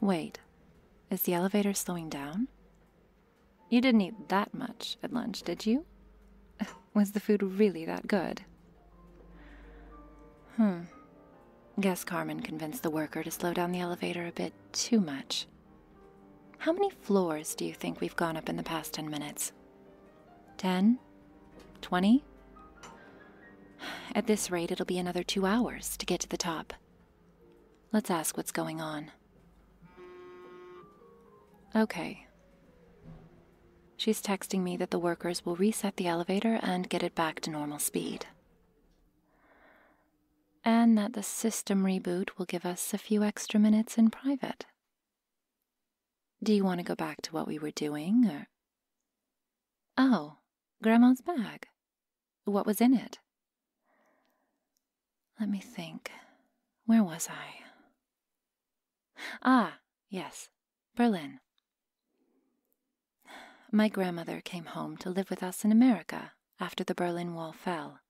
Wait, is the elevator slowing down? You didn't eat that much at lunch, did you? Was the food really that good? Hmm. Guess Carmen convinced the worker to slow down the elevator a bit too much. How many floors do you think we've gone up in the past 10 minutes? Ten, twenty. At this rate, it'll be another two hours to get to the top. Let's ask what's going on. Okay. She's texting me that the workers will reset the elevator and get it back to normal speed and that the system reboot will give us a few extra minutes in private. Do you want to go back to what we were doing, Oh, Grandma's bag. What was in it? Let me think. Where was I? Ah, yes, Berlin. My grandmother came home to live with us in America after the Berlin Wall fell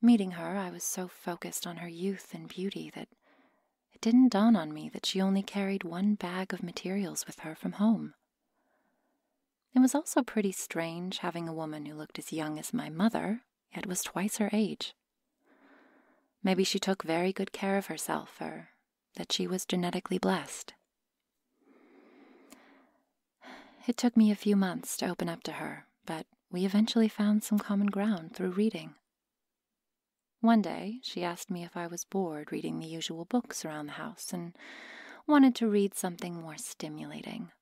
Meeting her, I was so focused on her youth and beauty that it didn't dawn on me that she only carried one bag of materials with her from home. It was also pretty strange having a woman who looked as young as my mother, yet was twice her age. Maybe she took very good care of herself, or that she was genetically blessed. It took me a few months to open up to her, but we eventually found some common ground through reading. One day, she asked me if I was bored reading the usual books around the house and wanted to read something more stimulating.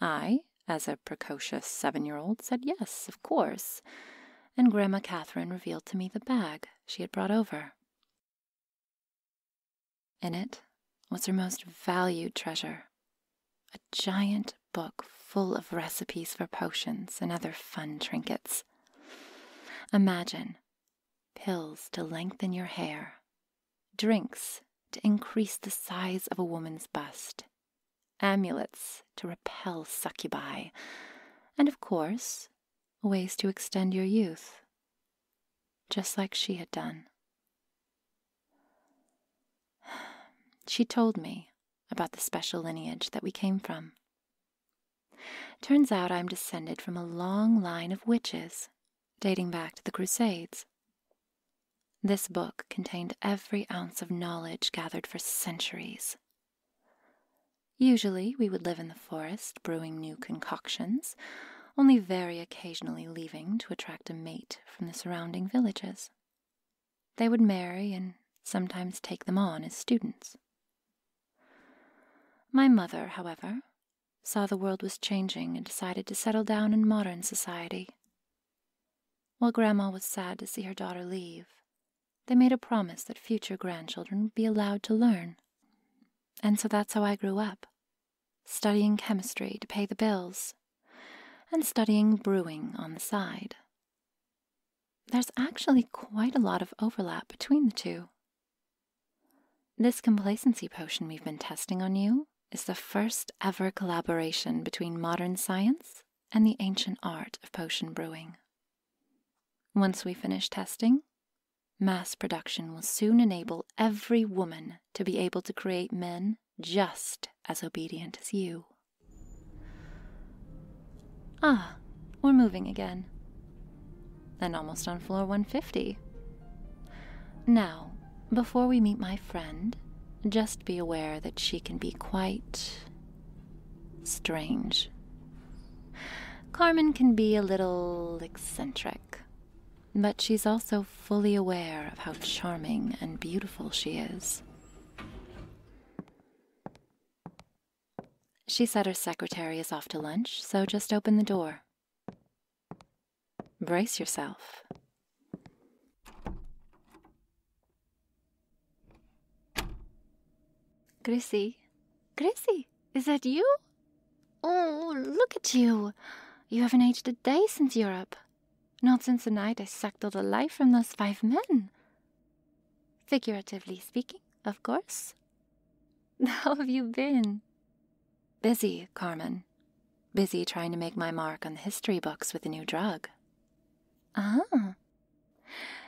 I, as a precocious seven year old, said yes, of course, and Grandma Catherine revealed to me the bag she had brought over. In it was her most valued treasure a giant book full of recipes for potions and other fun trinkets. Imagine pills to lengthen your hair, drinks to increase the size of a woman's bust, amulets to repel succubi, and of course, ways to extend your youth, just like she had done. She told me about the special lineage that we came from. Turns out I'm descended from a long line of witches dating back to the Crusades. This book contained every ounce of knowledge gathered for centuries. Usually we would live in the forest, brewing new concoctions, only very occasionally leaving to attract a mate from the surrounding villages. They would marry and sometimes take them on as students. My mother, however, saw the world was changing and decided to settle down in modern society. While Grandma was sad to see her daughter leave, they made a promise that future grandchildren would be allowed to learn. And so that's how I grew up studying chemistry to pay the bills, and studying brewing on the side. There's actually quite a lot of overlap between the two. This complacency potion we've been testing on you is the first ever collaboration between modern science and the ancient art of potion brewing. Once we finish testing, Mass production will soon enable every woman to be able to create men just as obedient as you. Ah, we're moving again. And almost on floor 150. Now, before we meet my friend, just be aware that she can be quite strange. Carmen can be a little eccentric, but she's also fully aware of how charming and beautiful she is. She said her secretary is off to lunch, so just open the door. Brace yourself. Grissy? Grissy, is that you? Oh, look at you! You haven't aged a day since Europe. Not since the night I sucked all the life from those five men. Figuratively speaking, of course. How have you been? Busy, Carmen. Busy trying to make my mark on the history books with a new drug. Ah,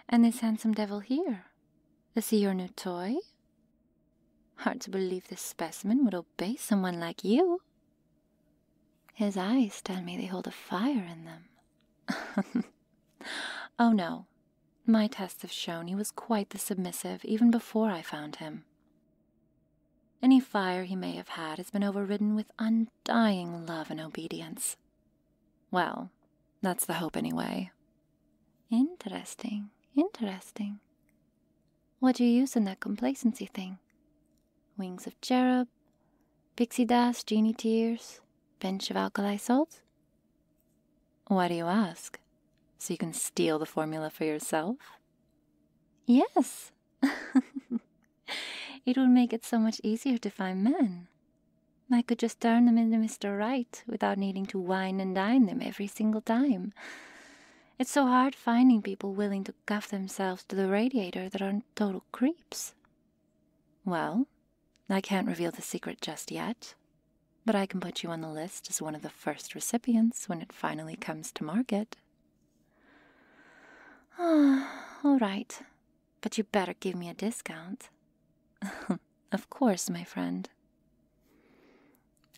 and this handsome devil here? Is he your new toy? Hard to believe this specimen would obey someone like you. His eyes tell me they hold a fire in them. oh no, my tests have shown he was quite the submissive even before I found him. Any fire he may have had has been overridden with undying love and obedience. Well, that's the hope anyway. Interesting, interesting. What do you use in that complacency thing? Wings of cherub, pixie dust, genie tears, bench of alkali salts? Why do you ask? So you can steal the formula for yourself? Yes. it would make it so much easier to find men. I could just turn them into Mr. Wright without needing to whine and dine them every single time. It's so hard finding people willing to cuff themselves to the radiator that aren't total creeps. Well, I can't reveal the secret just yet, but I can put you on the list as one of the first recipients when it finally comes to market. Ah, all right. But you better give me a discount. of course, my friend.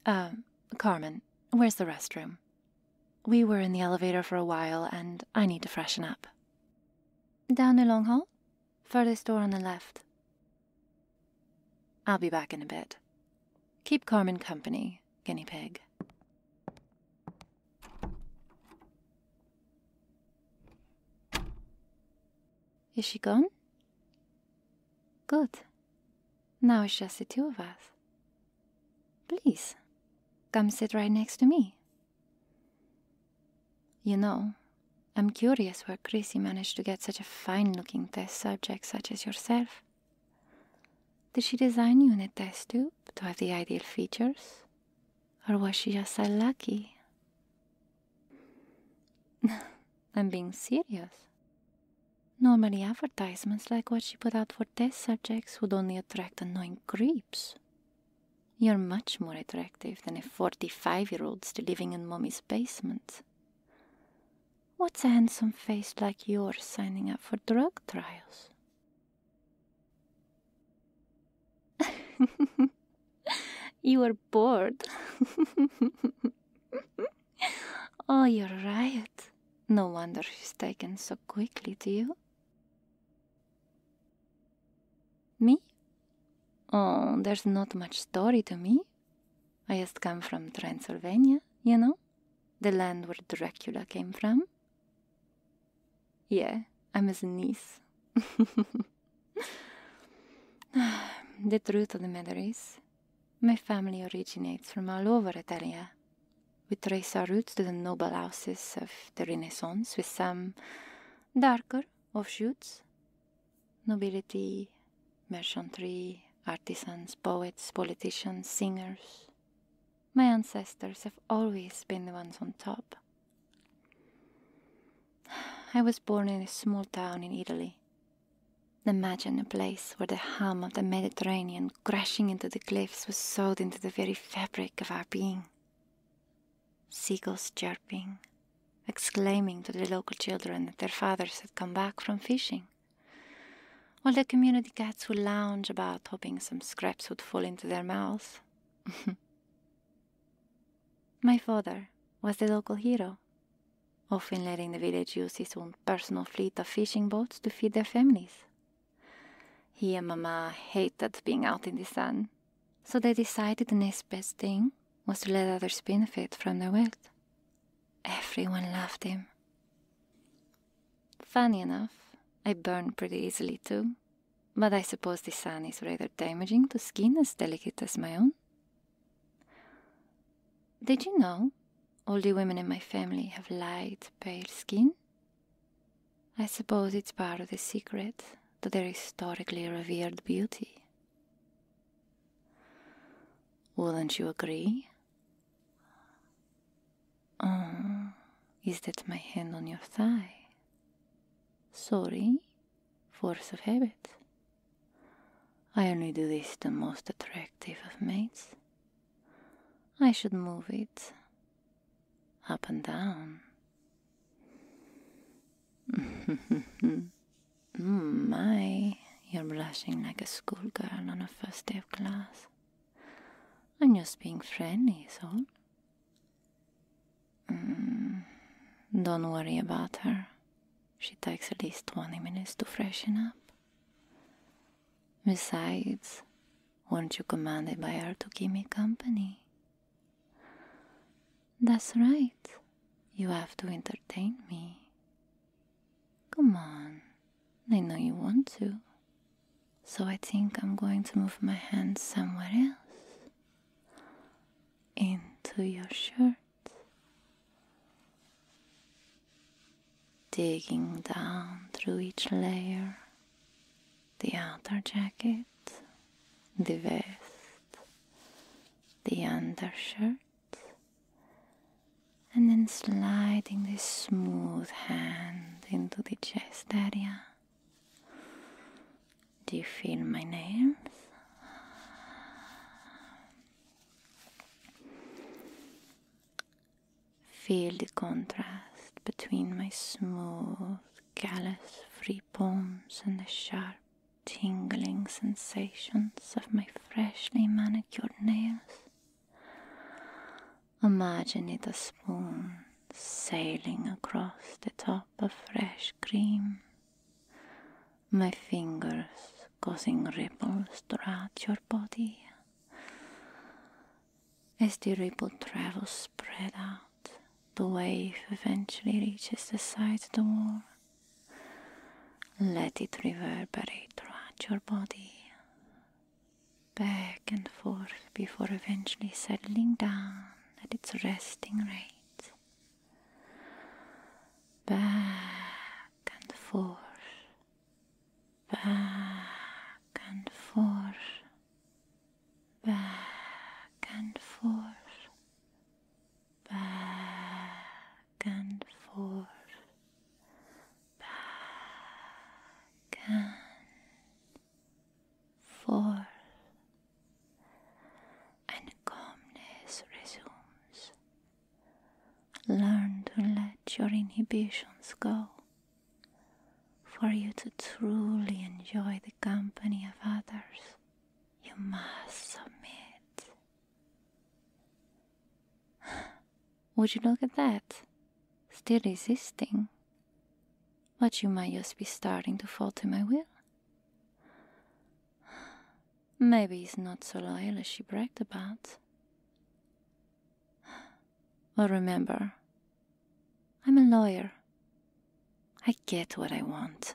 Uh, Carmen, where's the restroom? We were in the elevator for a while, and I need to freshen up. Down the long hall? Furthest door on the left. I'll be back in a bit. Keep Carmen company, guinea pig. Is she gone? Good. Now it's just the two of us. Please, come sit right next to me. You know, I'm curious where Chrissy managed to get such a fine looking test subject such as yourself. Did she design you in a test tube to have the ideal features? Or was she just so lucky? I'm being serious. Normally, advertisements like what she put out for test subjects would only attract annoying creeps. You're much more attractive than a 45 year old still living in mommy's basement. What's a handsome face like yours signing up for drug trials? you are bored. oh, you're right. No wonder she's taken so quickly to you. Me? Oh, there's not much story to me. I just come from Transylvania, you know? The land where Dracula came from. Yeah, I'm his niece. the truth of the matter is, my family originates from all over Italia. We trace our roots to the noble houses of the Renaissance with some darker offshoots. Nobility, merchantry, artisans, poets, politicians, singers. My ancestors have always been the ones on top. I was born in a small town in Italy. Imagine a place where the hum of the Mediterranean crashing into the cliffs was sewed into the very fabric of our being. Seagulls chirping, exclaiming to the local children that their fathers had come back from fishing, while the community cats would lounge about, hoping some scraps would fall into their mouths. My father was the local hero, often letting the village use his own personal fleet of fishing boats to feed their families. He and Mama hated being out in the sun, so they decided the next best thing was to let others benefit from their wealth. Everyone loved him. Funny enough, I burn pretty easily too, but I suppose the sun is rather damaging to skin as delicate as my own. Did you know all the women in my family have light, pale skin? I suppose it's part of the secret to their historically revered beauty. Wouldn't you agree? Oh, is that my hand on your thigh? Sorry, force of habit. I only do this the most attractive of mates. I should move it up and down. My, you're blushing like a schoolgirl on her first day of class. I'm just being friendly, is all. Mm, don't worry about her. She takes at least 20 minutes to freshen up. Besides, weren't you commanded by her to keep me company? That's right. You have to entertain me. Come on, I know you want to. So I think I'm going to move my hands somewhere else. Into your shirt. Digging down through each layer. The outer jacket, the vest, the undershirt and then sliding this smooth hand into the chest area. Do you feel my nails? Feel the contrast between my smooth, callus free palms and the sharp, tingling sensations of my freshly manicured nails. Imagine it a spoon sailing across the top of fresh cream, my fingers causing ripples throughout your body. As the ripple travels spread out, the wave eventually reaches the side of the wall let it reverberate throughout your body, back and forth, before eventually settling down at its resting rate. Back and forth, back and forth, back and forth, back and forth, back and forth, and calmness resumes. Learn to let your inhibitions go for you to truly enjoy the company of others. You must submit. Would you look at that? Still resisting. But you might just be starting to fall to my will. Maybe he's not so loyal as she bragged about. Well, remember, I'm a lawyer. I get what I want.